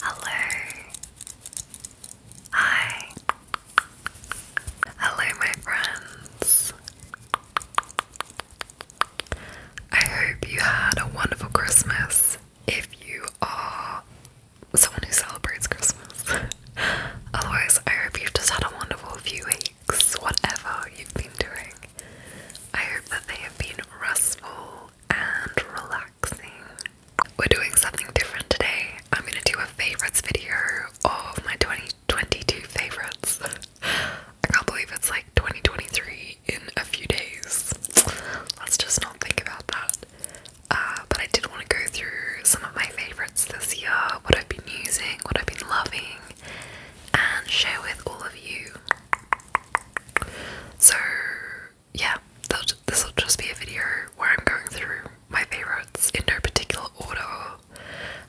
Hello. Hi. Hello, my friends. I hope you had a wonderful Christmas if you are someone who celebrates Christmas. Otherwise, I hope you've just had a wonderful few weeks, whatever you've been doing. I hope that they have been restful and relaxing. We're doing something different today. I'm gonna do a favorites video of my 2022 favorites. I can't believe it's like 2023 in a few days. Let's just not think about that. Uh, but I did want to go through some of my favorites this year, what I've been using, what I've been loving, and share with all of you so, yeah, this will just be a video where I'm going through my favourites in no particular order.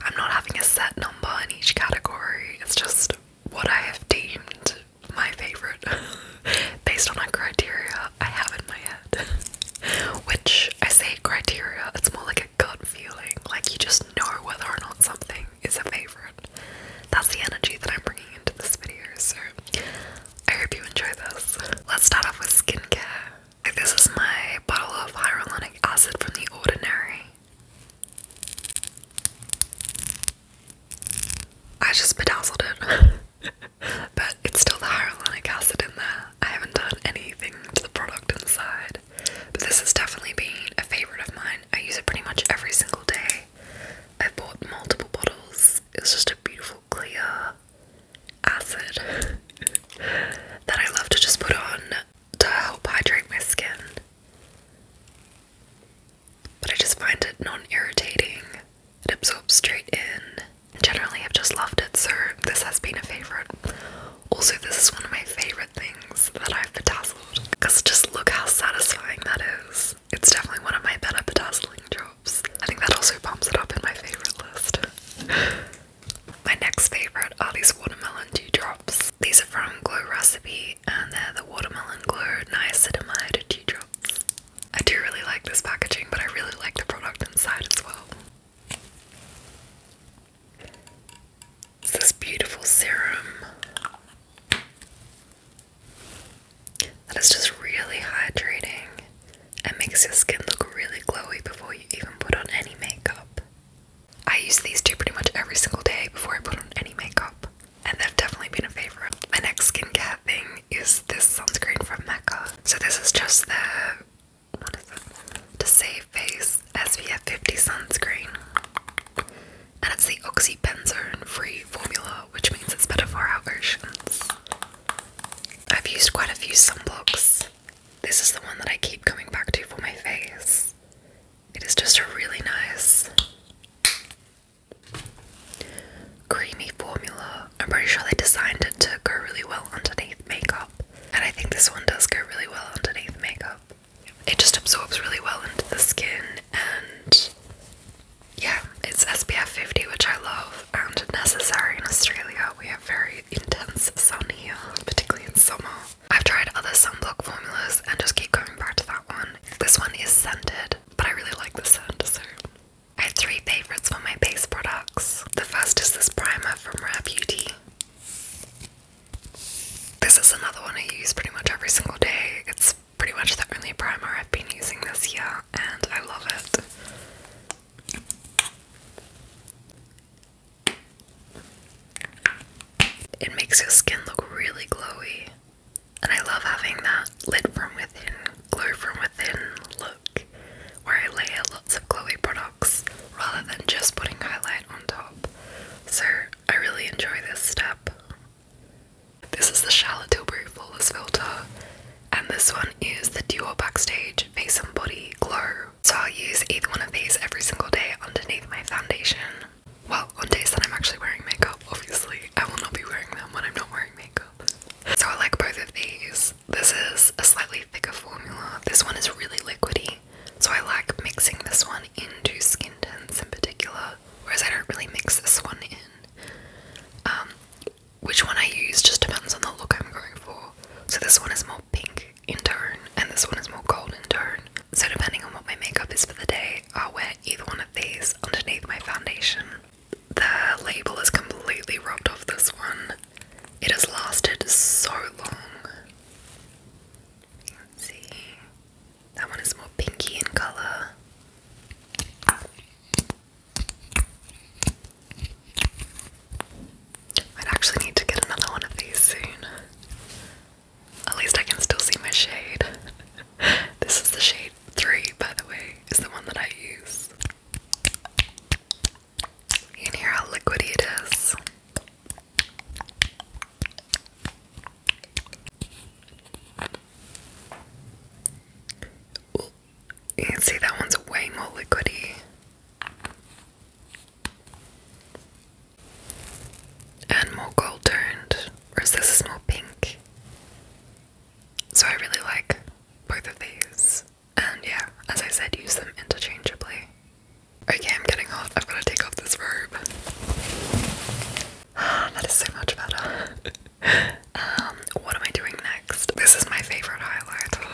I'm not having a set number in each category, it's just what I have deemed my favourite based on a criteria I have in my head. Which I say criteria, it's more like a gut feeling, like you just know whether or not something is a favorite. That's the energy that I'm bringing into this video, so I hope you enjoy this. Let's start off with skincare. This is my bottle of hyaluronic acid from The Ordinary. I just bedazzled it, but it's still the hyaluronic acid in there. I haven't done anything to the product inside, but this has definitely been a favorite of mine. I use it pretty much every single day. I bought multiple bottles. It just a beautiful clear acid that I love to just put on to help hydrate my skin. But I just find it non irritating. It absorbs straight in. Generally, I've just loved it, so this has been a favourite. Also, this is one of my favourite things that I've been bedazzled because just look how satisfying that is it's definitely one of my better bedazzling jobs. I think that also bumps it up in my favourite list. my next favourite are these watermelon dewdrops. These are from Glow Recipe and they're the Watermelon Glow Niacinamide Dewdrops. I do really like this packaging, but I really like the product inside as well. It's this beautiful serum. That is just really hydrating and makes your skin look really glowy before you even put on any makeup. I use these two pretty much every single day before I put on any makeup, and they've definitely been a favorite. My next skin care thing is this sunscreen from Mecca. So this is just the what is it? To Save Face SPF 50 sunscreen and it's the oxybenzone-free formula, which means it's better for our oceans. I've used quite a few sunblocks. This is the one that I keep coming back to for my face. It is just a really nice creamy formula. I'm pretty sure they designed it to go really well underneath makeup. And I think this one does go really well underneath makeup it just absorbs really well into the skin and yeah, it's SPF 50 which I love and necessary in Australia. We have very intense sun here, particularly in summer. I've tried other sunblock formulas and just keep going back to that one. This one is scented, but I really like the scent, so I have three favourites for my base products. The first is this primer from Rare This is another one I use pretty much every single day. It's pretty much the only primer I've been using this year, and I love it. It makes your skin look really glowy, and I love having that lid from within, glow from within look where I layer lots of glowy products rather than just putting highlight on top. So I really enjoy this step. This is the Charlotte Tilbury Flawless Filter, and this one is the Dior Backstage Face and Body Glow. So I'll use either one of these every single day underneath my foundation. Well, on days that I'm actually wearing makeup, obviously. I will not be wearing them when I'm not wearing makeup. So I like both of these. This is a slightly thicker formula. This one is really liquidy, so I like mixing this one into skin tints in particular whereas I don't really mix this one in. Um, which one I use just depends on the look I'm going for. So this one is more pink in tone, and this one is more gold in tone. So depending on what my makeup is for the day, I'll wear either one of these underneath my foundation. The label is completely rubbed off this one. It has lasted so long. see. That one is more pinky in color. I'd actually need to get another one of these soon. At least I can still see my shade. this is the shade 3, by the way, is the one that I use. You can hear how liquidy it is you can see that one's way more liquidy. And more gold toned, whereas this is more pink. So I really like both of these. And yeah, as I said, use them interchangeably. Okay, I'm getting hot. i am going to take off this robe. that is so much better. Um, what am I doing next? This is my favorite highlighter.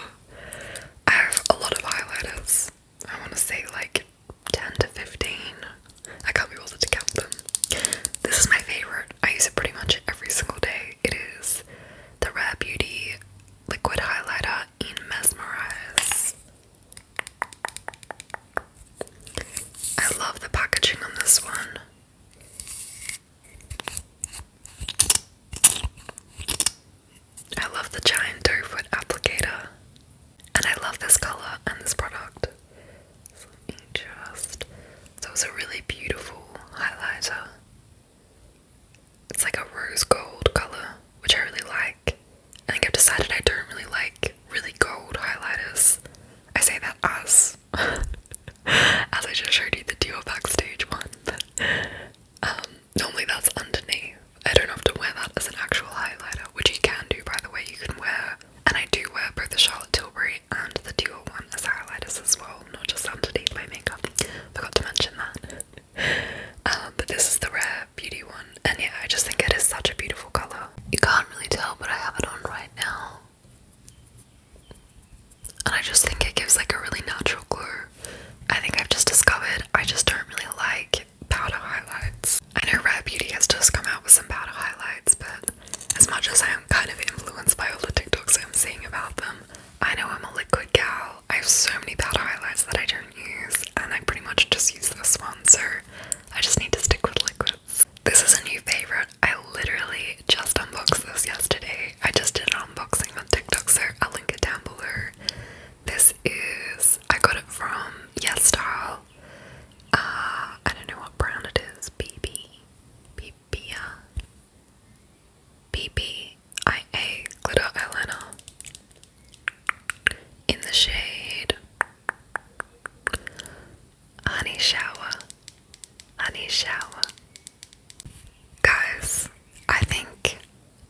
I have a lot of highlighters. I want to say like 10 to 15. I can't be bothered to count them. This is my favorite. I use it pretty much every single day. It is the Rare Beauty Liquid Highlighter in Mesmerize. I love the packaging on this one. I love the giant doe foot applicator. And I love this colour and this product. So let So it's a really beautiful highlighter. It's like a rose gold colour, which I really like. I think I've decided I don't really like really gold highlighters. I say that as as I just showed you the Dior backstage one. Um, normally that's underneath. I don't have to wear that as an actual highlighter, which you can do by the way. You can wear, and I do wear both the Charlotte Tilbury and the Dior one as highlighters as well, not just underneath my makeup. Forgot to mention that. Um, but this is the red beauty one. And yeah, I just think it is such a beautiful colour. You can't really tell, but I have it on right now. And I just think it gives like a really natural glow. I think I've just discovered I just don't really like powder highlights. I know Rare Beauty has just come out with some powder highlights, but as much as I am kind of influenced by all the TikToks I'm seeing about them, I know I'm a liquid gal. I have so many powder highlights that I don't use, and I pretty much just use this one, so I just need to stick with liquids. This is a new favorite. I literally just unboxed this yesterday. I just did an unboxing on TikTok, so I'll link it down below. This is, I got it from Yes Style. Uh, I don't know what brand it is. BB. BB. BBIA uh, Glitter Eyeliner. In the shade Honey shower. Honey shower. Guys, I think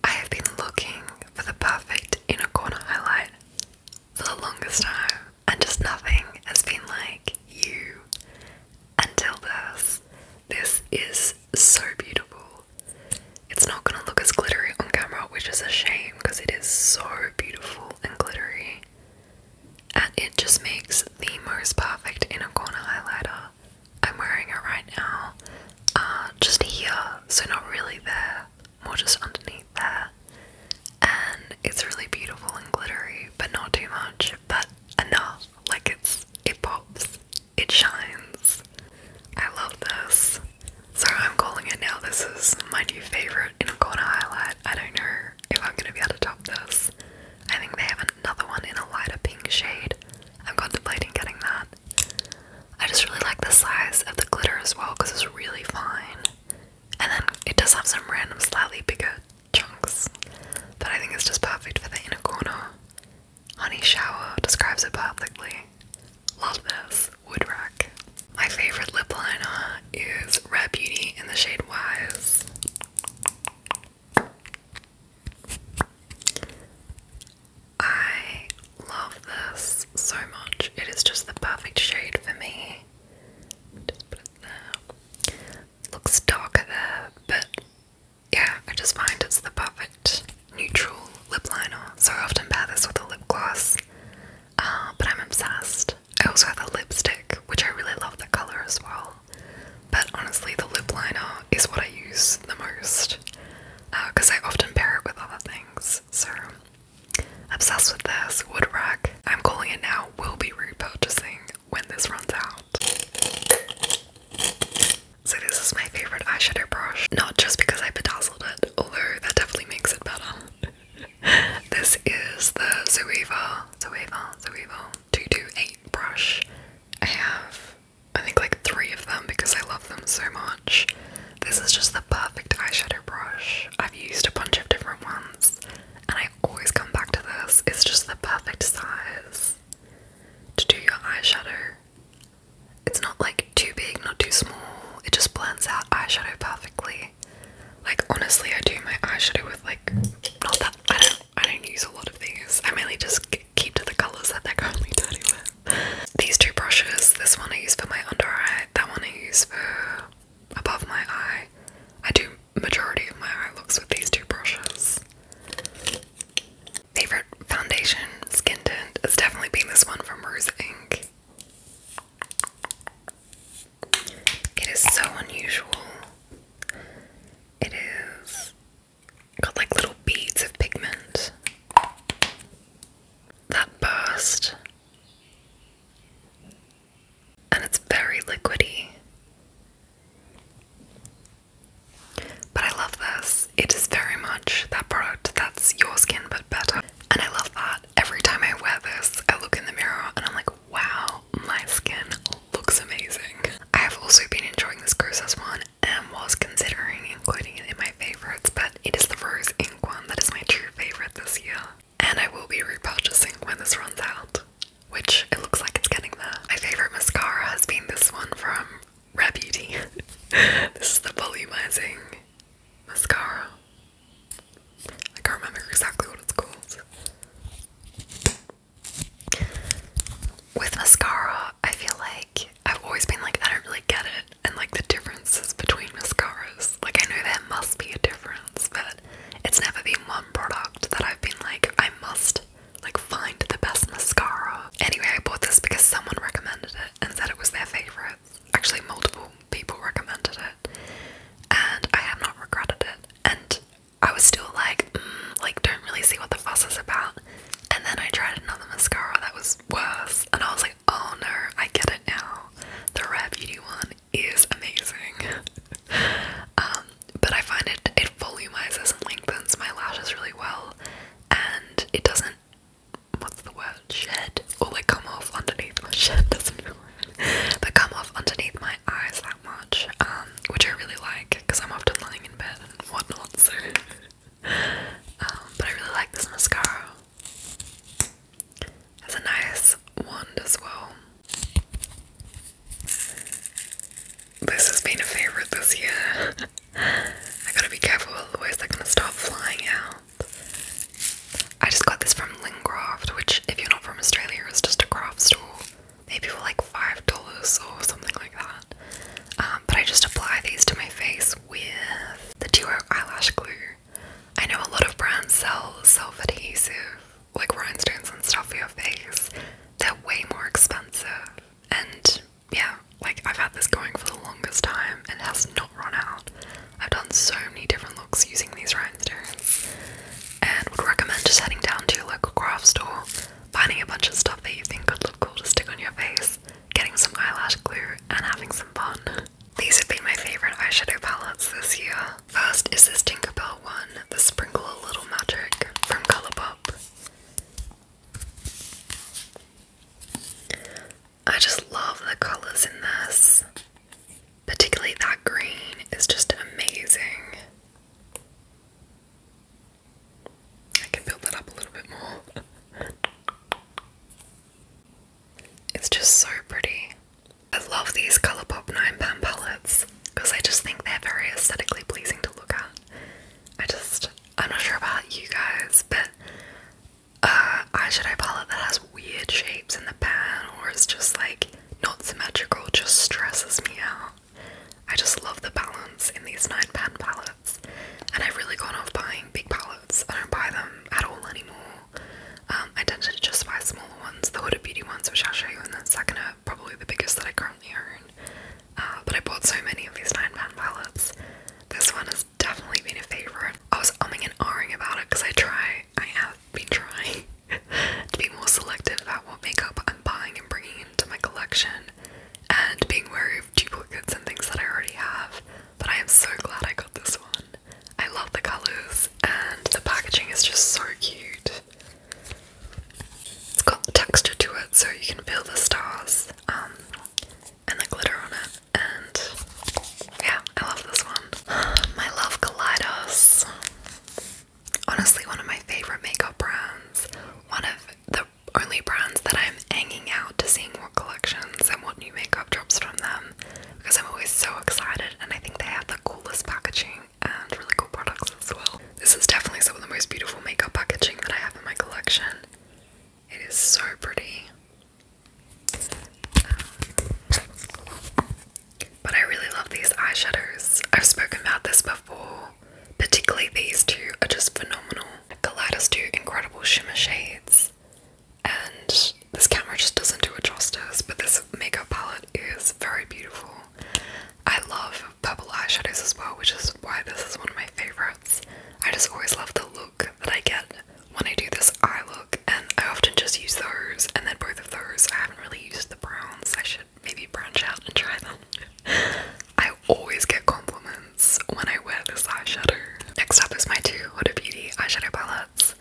I have been looking for the perfect inner corner highlight for the longest time, and just nothing has been like you until this. This is so beautiful. It's not gonna look as glittery on camera, which is a shame because it is so beautiful and glittery. And it just makes the most perfect inner corner highlighter. I'm wearing it right now, uh, just here, so not really there, more just underneath there. And it's really beautiful and glittery, but not too much, but enough. Like it's, it pops, it shines. I love this. So I'm calling it now. This is my new favorite in corner highlight. I don't know if I'm gonna be able to top this. I think they have another one in a lighter pink shade. I'm contemplating getting that. I just really like the size of the glitter as well because it's really fine. And then it does have some random slightly bigger chunks. But I think it's just perfect for the inner corner. Honey Shower describes it perfectly. Love this. Wood Rack. My favorite lip liner is Red Beauty in the shade Wise. I love this so much. It is just the perfect shade for me. Just put it there. Looks darker there, but yeah, I just find it's the perfect neutral lip liner. So often pair this with a lip gloss Ah, but I'm obsessed. I also have a lipstick, which I really love the color as well. But honestly, the lip liner is what I use the most because uh, I often pair it with other things. So, obsessed with this wood rack. I'm calling it now, will be repurchasing when this runs out. So, this is my favorite eyeshadow brush, not just because I bedazzled it, although that definitely makes it better. this is the Zoeva, Zoeva, Zoeva 228 brush. I have, I think, like three of them because I love them so much. This is just the perfect eyeshadow brush. I've used a bunch of different ones, and I always come back to this. It's just the perfect size to do your eyeshadow. It's not like too big, not too small. It just blends out eyeshadow perfectly. Like honestly, I do my eye shadow with like not that I don't I don't use a lot of these. I mainly just keep to the colours that they're currently dirty with. These two brushes, this one I use for my under eye, that one I use for above my eye. I do majority of my eye looks with these two brushes. Favorite foundation skin tint has definitely been this one from Rose Inc. It is so unusual. It is got like little beads of pigment that burst, and it's very liquidy. But I love this. It is very much that product that's your skin but better, and I love that every time I wear this, I look in the mirror and I'm like, wow, my skin looks amazing. I have also been enjoying this Kosas one and was considering including it in my favourites, but it is the first ink one that is my true favourite this year. And I will be repurchasing when this runs out, which it looks like it's getting there. My favourite mascara has been this one from Rare this is the volumizing mascara. I can't remember exactly what it's called. With mascara, I feel like I've always been like, I don't really get it, and like the differences between mascaras. Like, I know there must be a difference, but it's never been one product that I've been like, I must like find the best mascara. Anyway, I bought this because someone recommended it and said it was their favorite actually multiple people recommended it, and I have not regretted it. And I was still like, mm, like don't really see what the fuss is about. And then I tried another mascara that was worse, and I was like, oh no, I get it now. The Rare one is amazing. Um, but I find it it volumizes and lengthens my lashes really well, and it doesn't what's the word? Shed, or they come off underneath my shed doesn't know. they come off underneath my eyes that much, um, which I really like because I'm often lying in bed and whatnot. So, um, but I really like this mascara. Has a nice wand as well. This has been a favorite this year. I gotta be careful, otherwise they're gonna stop flying out. I just got this from Lingraft, which, if you're not from Australia, is just a craft store, maybe for like $5 or something like that. Um, but I just apply these to my face with the Duo Eyelash Glue. I know a lot of brands sell self adhesive, like rhinestones and stuff for your face. They're way more expensive. And yeah, like I've had this going for the longest time and has not run out. I've done so many different looks using these rhinestones and would recommend just heading down to your local craft store, finding a bunch of stuff that you think could look cool to stick on your face, getting some eyelash glue, and having some fun. These would be my favourite eyeshadow palettes this year. First is this Tinkerbell one, the Sprinkle Little Magic from Colourpop. I just love the colors in this. Particularly that green is just amazing. I can build that up a little bit more. It's just so pretty. I love these Colourpop 9 pound palettes because I just think they're very aesthetically pleasing to look at. I just, I'm not sure about you guys, but uh, eyeshadow palette that has weird shapes in the pan or is just like not symmetrical just stresses me out. I just love the balance in these nine pan palettes, and I've really gone off buying big palettes. I don't buy them at all anymore. Um, I tend to just buy smaller ones, the Huda Beauty ones, which I'll show you in a second, are probably the biggest that I currently own. Uh, but I bought so many of these nine pan palettes. This one has definitely been a favorite. I was umming and ahhing about it because I try, I have been trying to be more selective about what makeup I'm buying and bringing into my collection and being wary of duplicates and things that I already have. But I am so glad I got this one. I love the colours and the packaging is just so cute. It's got texture to it so you can feel the stars um, and the glitter on it and yeah, I love this one. My Love Kaleidos. Honestly, one of my favorite makeup brands. One of the only brands that I'm hanging out to seeing what collections and what new makeup drops from them because I'm always so excited and I think they have the coolest packaging and really cool products as well. This is definitely some of the most beautiful makeup packaging that I have in my collection. It is so pretty but I really love these eyeshadows. I've spoken about this before. Particularly these two are just phenomenal. Kaleidos do incredible shimmer shades. And this camera just doesn't do it justice, but this makeup palette is very beautiful. I love purple eyeshadows as well, which is why this is one of my favorites. I just always love the look that I get when I do this eye look, and I often just use those, and then both of those. I haven't really used the browns. I should maybe branch out and try them. I always get compliments when I wear this eyeshadow. Next up is my two Huda Beauty eyeshadow palettes.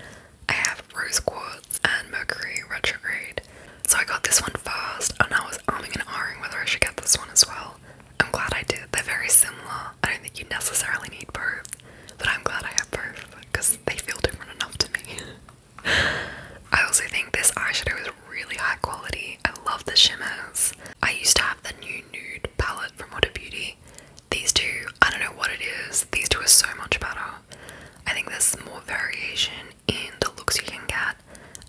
I have Rose Quartz and Mercury Retrograde. So I got this one first, and I was arming and ahhing whether I should get this one as well. I'm glad I did. They're very similar. I don't think you necessarily need both. But I'm glad I have both because they feel different enough to me. I also think this eyeshadow is really high quality. I love the shimmers. I used to have the new nude palette from Water Beauty. These two, I don't know what it is, these two are so much better. I think there's more variation in the looks you can get,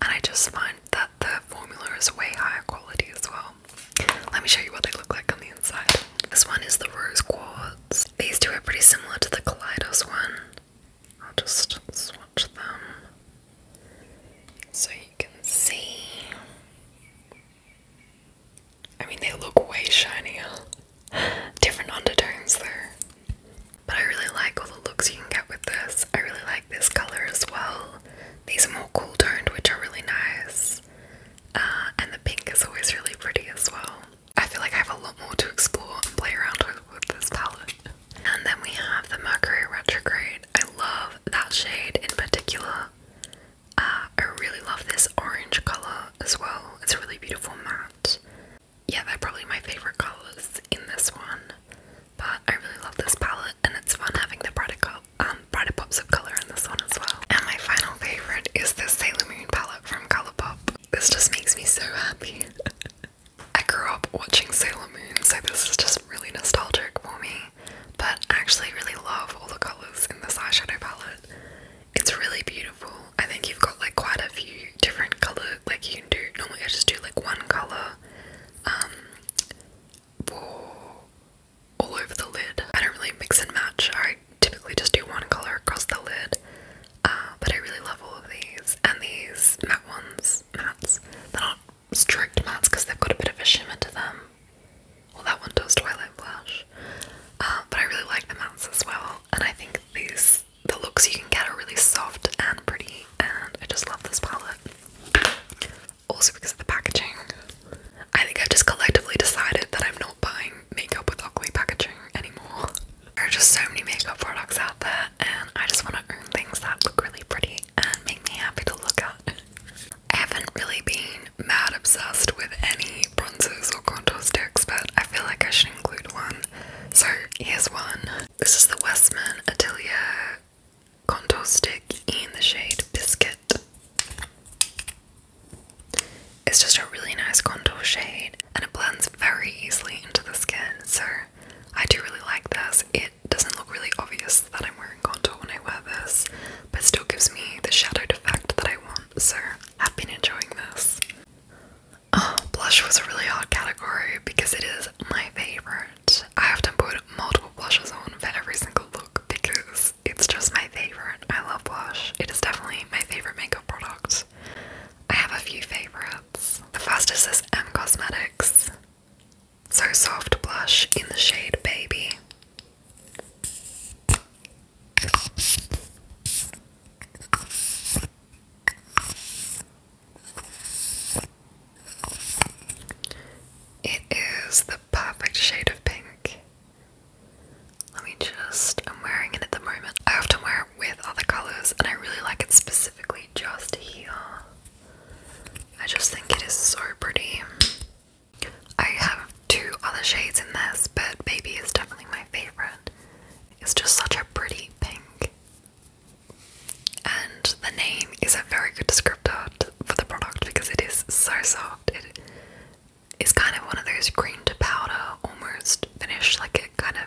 and I just find that the formula is way higher quality as well. Let me show you what they look like on the inside. This one is the rose quartz. These two are pretty similar to the Kaleidos one. I'll just swatch them so you can see. I mean, they look way shinier. Different undertones there, But I really like all the looks you can get with this. I really like this color as well. These are more cool toned, which are really nice. Uh, and the pink is always really pretty as well. I feel like I have a lot more to explore and play around with with this palette. And then we have the Mercury Retrograde. I love that shade in particular. Uh, I really love this orange colour as well. It's a really beautiful matte. Yeah, they're probably my favourite colours in this one. But I really love this palette and it's fun having the product up brighter um, pops of colour in this one as well. And my final favourite is this Sailor Moon palette from Colourpop. This just makes me so happy. I grew up watching Sailor Moon, so this is just really nostalgic for me. But I actually really love all the colours in this eyeshadow palette. It's really beautiful. I think you've got like quite a few different colour, like you can do normally I just do like one colour um all over the lid. I don't really mix and match. I typically just do one color across the lid. Uh, but I really love all of these. And these matte ones, mattes, they're not strict mattes because they've got a bit of a shimmer to them. Well, that one does Twilight Blush. Uh, but I really like the mattes as well. And I think these, the looks you can get are really soft and pretty. And I just love this palette also because of the packaging. I think I've just collectively decided that I'm not buying makeup with ugly packaging anymore. There are just so many makeup products out there, and I just want to own things that look really pretty and make me happy to look at. I haven't really been mad obsessed with any bronzers or contour sticks, but I feel like I should include one. So here's one. This is the Westman Atelier contour stick in the shade Biscuit. It's just a really nice contour shade and it blends very easily into the skin, so I do really like this. It doesn't look really obvious that I'm wearing contour when I wear this, but still gives me the shadowed effect that I want, so I've been enjoying this. Oh, blush was a really hard category because it is my favourite. I have to put multiple blushes on for every single look because it's just my favorite. I love blush. It is definitely my favorite makeup product. I have a few favorites. The first is this M Cosmetics So Soft Blush in the shade Baby. It is the perfect shade of pink. Let me just, I'm wearing it at the moment. I often wear it with other colours and I really like it specifically just here. I just think it is so pretty. I have two other shades in this, but Baby is definitely my favourite. It's just such a pretty pink. And the name is a very good descriptor for the product because it is so soft. It is kind of one of those green to powder almost finish, like it kind of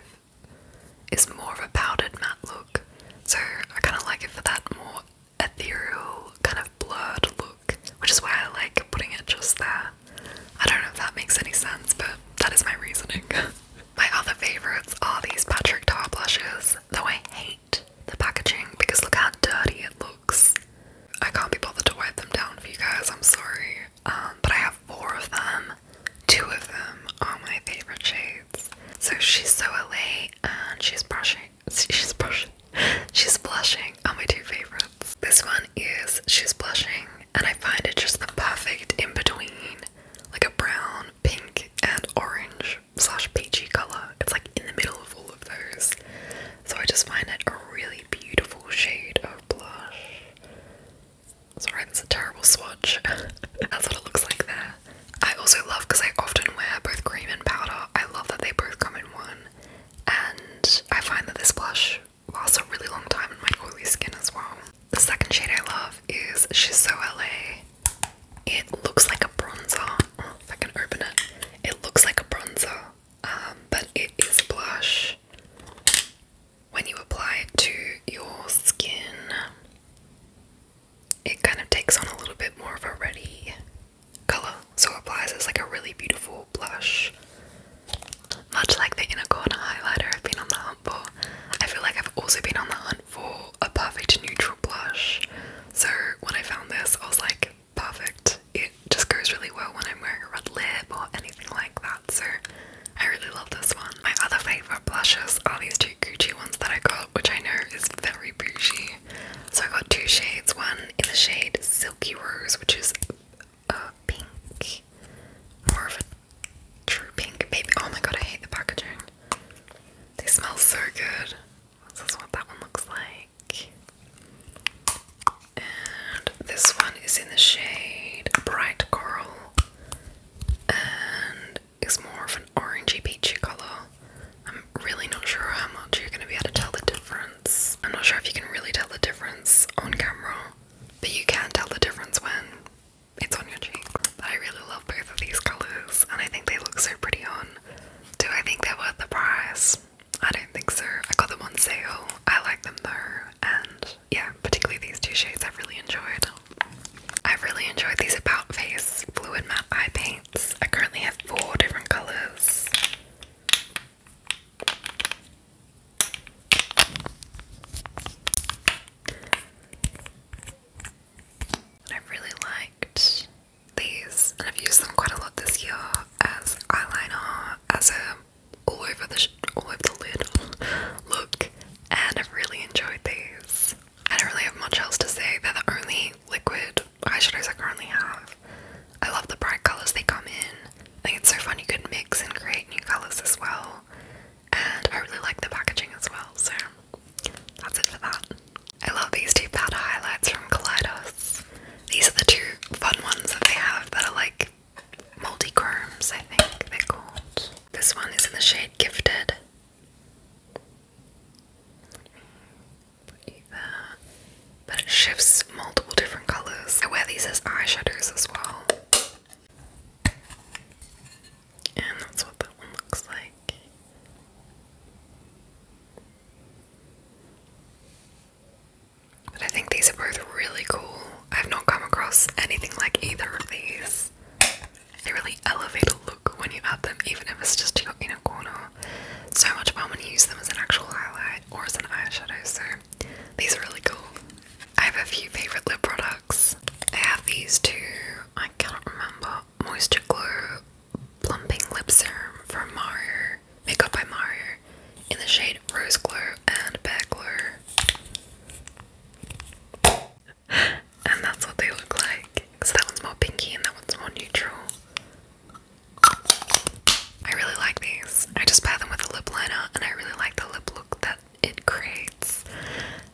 is more of a powdered matte look. So I kind of like it for that more ethereal, kind of blurred look, which is why I like putting it just there. I don't know if that makes any sense, but that is my reasoning. my other favourites are these Patrick Tar blushes, though I hate the packaging because look how dirty it looks. I can't be bothered to wipe them down for you guys, I'm sorry. Um, but I have four of them. Two of them are my favorite shades. So she's so LA and she's brushing. She's brushing. She's blushing are my two favorites. This one is She's Blushing, and I find it just the perfect in between like a brown, pink, and orange slash peachy colour. It's like in the middle of all of those. So I just find it a really beautiful shade of blush. Sorry, that's a terrible swatch. that's what it looks like there. I also love because I often wear both cream and powder. I love that they both come in one. And I find that this blush lasts a really long time in my oily skin as well. The second shade I love is She's LA. It looks like a bronzer. Oh, if I can open it. It looks like a bronzer, um, but it is blush. When you apply it to your skin, it kind of takes on a little bit more of a ready color, so it applies as like a really beautiful blush. Much like the inner corner highlighter I've been on the hunt for, I feel like I've also been on the hunt for a perfect neutral blush. So when I found this, I was like, perfect. It just goes really well when I'm wearing a red lip or anything like that, so I really love this one. My other favourite blushes are these two Gucci ones that I got, which I know is very bougie. So I got two shades, one in the shade Silky Rose, which is a pink, more of a true pink baby. Oh my god, I hate the packaging. They smell so good. This is what that one looks like. And this one is in the shade Bright Coral and is more of an orangey peachy colour. I'm really not sure how much you're going to be able to tell the difference. I'm not sure if you can really tell the difference on camera, but you can tell the difference when it's on your cheek. I really love both of these colours and I think they look so pretty on. Do I think they're worth the price? I don't think so. I got them on sale. I like them though, and yeah, particularly these two shades i really enjoyed. i really enjoyed these About Face Fluid Matte Eye Paints. I currently have four different colours. And I really liked these, and I've used them quite a lot this year as eyeliner, as a all over the all over the lid look, and I've really enjoyed these. I don't really have much else to say. They're the only liquid eyeshadows I currently have. I love the bright colors they come in. I think it's so fun you could mix and create new colors as well. And I really like the packaging as well, so that's it for that. I love these two powder highlights from Kaleidos. These are the two fun ones that they have that are like multi-chromes, I think they're called. This one is in the shade Gifted. But it shifts multiple different colours. I wear these as eyeshadows as well. And that's what that one looks like. But I think these are both really cool. I've not come across anything like either of these. They really elevate a look when you add them, even if it's just in a corner. So much fun when you use them as an actual highlight or as an eyeshadow, so these are really cool. I have a few favourite lip products. I have these two, I cannot remember Moisture Glow Plumping Lip Serum from Mario, Makeup by Mario, in the shade Rose Glow and Bear Glow. and that's what they look like. So that one's more pinky and that one's more neutral. I really like these. I just pair them with a lip liner and I really like the lip look that it creates.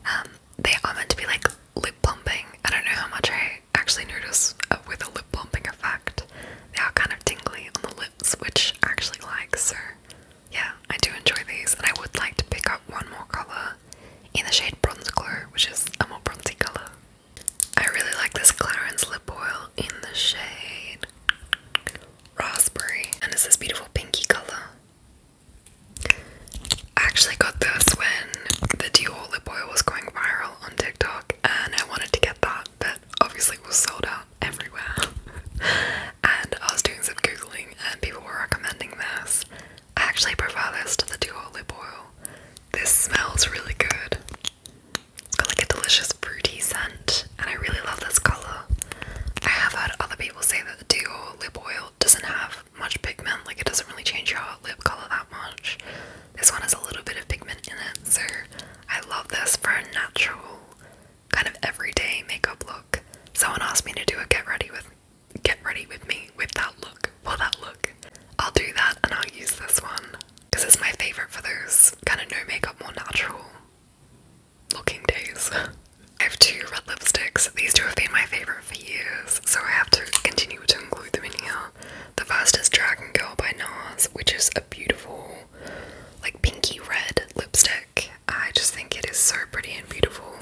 Um, they are meant to be like lip plumping. I don't know how much I actually notice uh, with a lip bumping effect, they are kind of tingly on the lips, which I actually like. So, yeah, I do enjoy these, and I would like to pick up one more color in the shade Bronze Glow, which is a more bronzy color. I really like this Clarins lip oil in the shade Raspberry, and it's this beautiful pinky color. I actually got this when the Dior lip oil was going viral TikTok and I wanted to get that, but obviously it was sold out everywhere. and I was doing some googling and people were recommending this. I actually prefer this to the duo lip oil. This smells really good. It's got like a delicious fruity scent, and I really love this colour. I have heard other people say that the duo lip oil doesn't have much pigment, like it doesn't really change your lip colour that much. This one has a little bit of pigment in it, so I love this for a natural kind of everyday makeup look. Someone asked me to do a get ready with get ready with me with that look. Well that look. I'll do that and I'll use this one. Because it's my favourite for those kind of no makeup more natural looking days. I have two red lipsticks. These two have been my favourite for years, so I have to continue to include them in here. The fastest Dragon Girl by NARS, which is a beautiful, like pinky red lipstick. I just think it is so pretty and beautiful.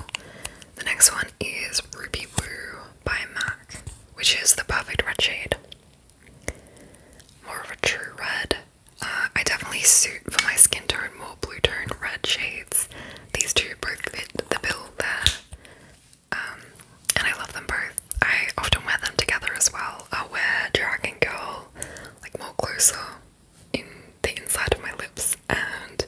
The next one is Ruby Woo by MAC, which is the perfect red shade. More of a true red. Uh, I definitely suit for my skin tone more blue tone red shades. These two both fit the bill there. Um, and I love them both. I often wear them together as well. I'll wear Dragon Girl like more closer in the inside of my lips and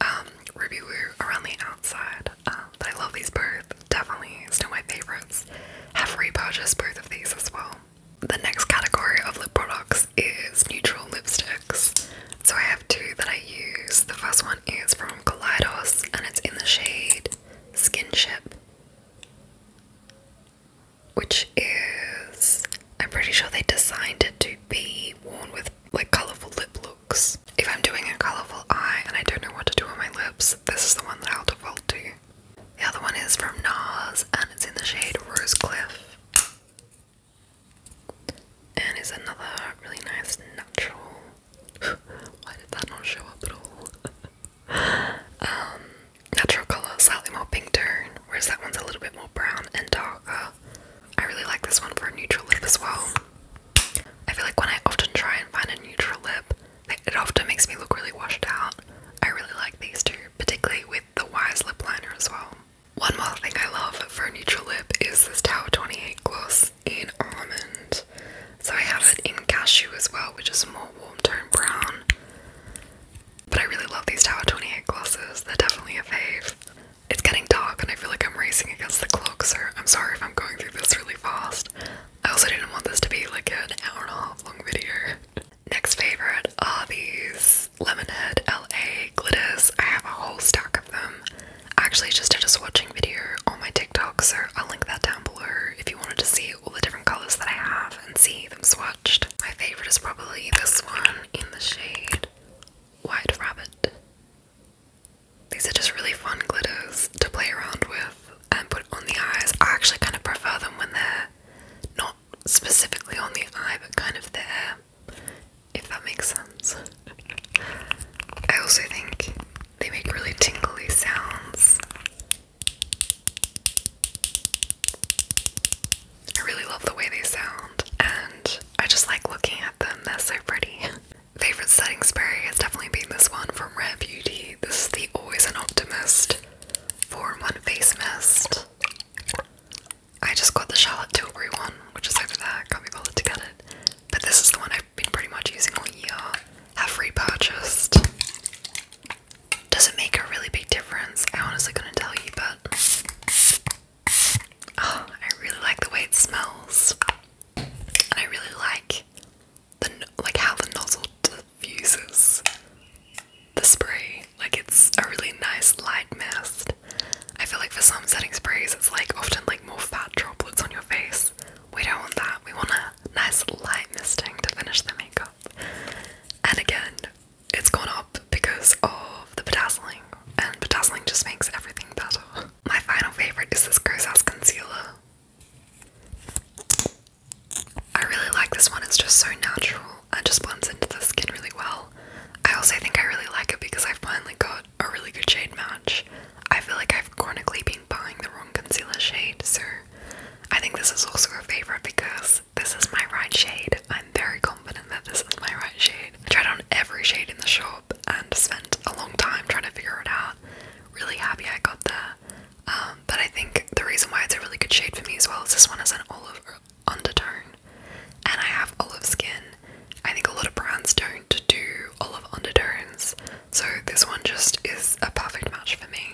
um, Ruby Woo around the outside. Um, but I love these both. Definitely still my favorites. Have repurchased both of these as well. The next category of lip products is neutral lipsticks. So I have two that I the first one is from Kaleidos and it's in the shade Skinship, which is, I'm pretty sure they designed it to be worn with like colourful lip looks. If I'm doing a colourful eye and I don't know what to do on my lips, this is the one that I'll default to. The other one is from NARS and it's in the shade Rose Cliff. And is another really nice natural why did that not show up at all? Um, natural colour, slightly more pink tone, whereas that one's a little bit more brown and darker. I really like this one for a neutral lip as well. I feel like when I often try and find a neutral lip, it often makes me look really washed out. I really like these two, particularly with the Wise lip liner as well. One more thing I love for a neutral lip is this tau 28 gloss in almond. So I have it in cashew as well, which is more warm tone brown. But I really love these Tower 28 glosses, they're definitely a fave. It's getting dark and I feel like I'm racing against the clock, so I'm sorry if I'm going through this really fast. I also didn't want this to be like an hour and a half long video. Next favorite are these Lemonhead LA glitters. I have a whole stack of them. I actually just did a swatching video on my TikTok, so I'll link that down below if you wanted to see all the different colours that I have and see them swatched. My favourite is probably this one in the shade White Rabbit. These are just really fun glitters to play around with and put on the eyes. I actually kind of prefer them when they're not specifically on the eye, but kind of there, if that makes sense. I also think they make really tingly sounds. I really love the way they sound, and I just like looking at them. They're so pretty. Favorite setting spray has definitely been this one from Rare Beauty. This is the Always an Optimist 4-in-1 Face Mist. I just got the Charlotte Tilbury one, which is over there. Can't be bothered to get it. But this is the one I've been pretty much using all year, have repurchased. Does it make a really big difference? I honestly couldn't tell you, but oh, I really like the way it smells, I really like the like how the nozzle diffuses the spray. Like it's a really nice light mist. I feel like for some setting sprays, it's like often like more fat droplets on your face, we don't want that. We want a nice light misting to finish the makeup. And again, it's gone up because of the bedazzling, and bedazzling just makes everything better. My final favorite is this Gross Ass Concealer. I really like this one, it's just so natural and just blends into the skin really well. I also think I really like it because I finally got a really good shade match. I feel like I've chronically been buying the wrong concealer shade, so I think this is also a favorite because this is my right shade. I'm very confident that this is my right shade. I tried on every shade in the shop and spent a long time trying to figure it out. Really happy I got there. Um, but I think the reason why it's a really good shade for me as well is this one has an olive undertone, and I have olive skin. I think a lot of brands don't to do all of undertones, so this one just is a perfect match for me.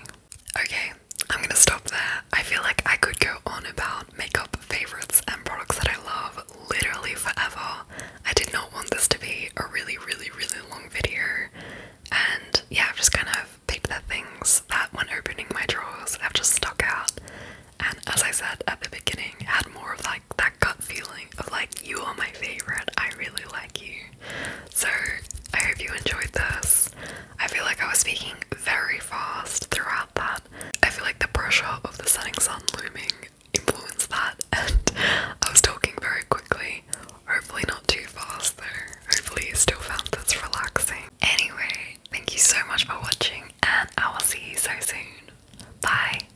Okay, I'm gonna stop there. I feel like I could go on about makeup favorites and products that I love literally forever. I did not want this to be a really, really, really long video, and yeah, I've just kind of picked the things that, when opening my drawers, have just stuck out. And as I said at the beginning, had more of like that gut feeling like, you are my favorite, I really like you. So, I hope you enjoyed this. I feel like I was speaking very fast throughout that. I feel like the pressure of the setting sun looming influenced that, and I was talking very quickly. Hopefully, not too fast though. Hopefully, you still found this relaxing. Anyway, thank you so much for watching, and I will see you so soon. Bye.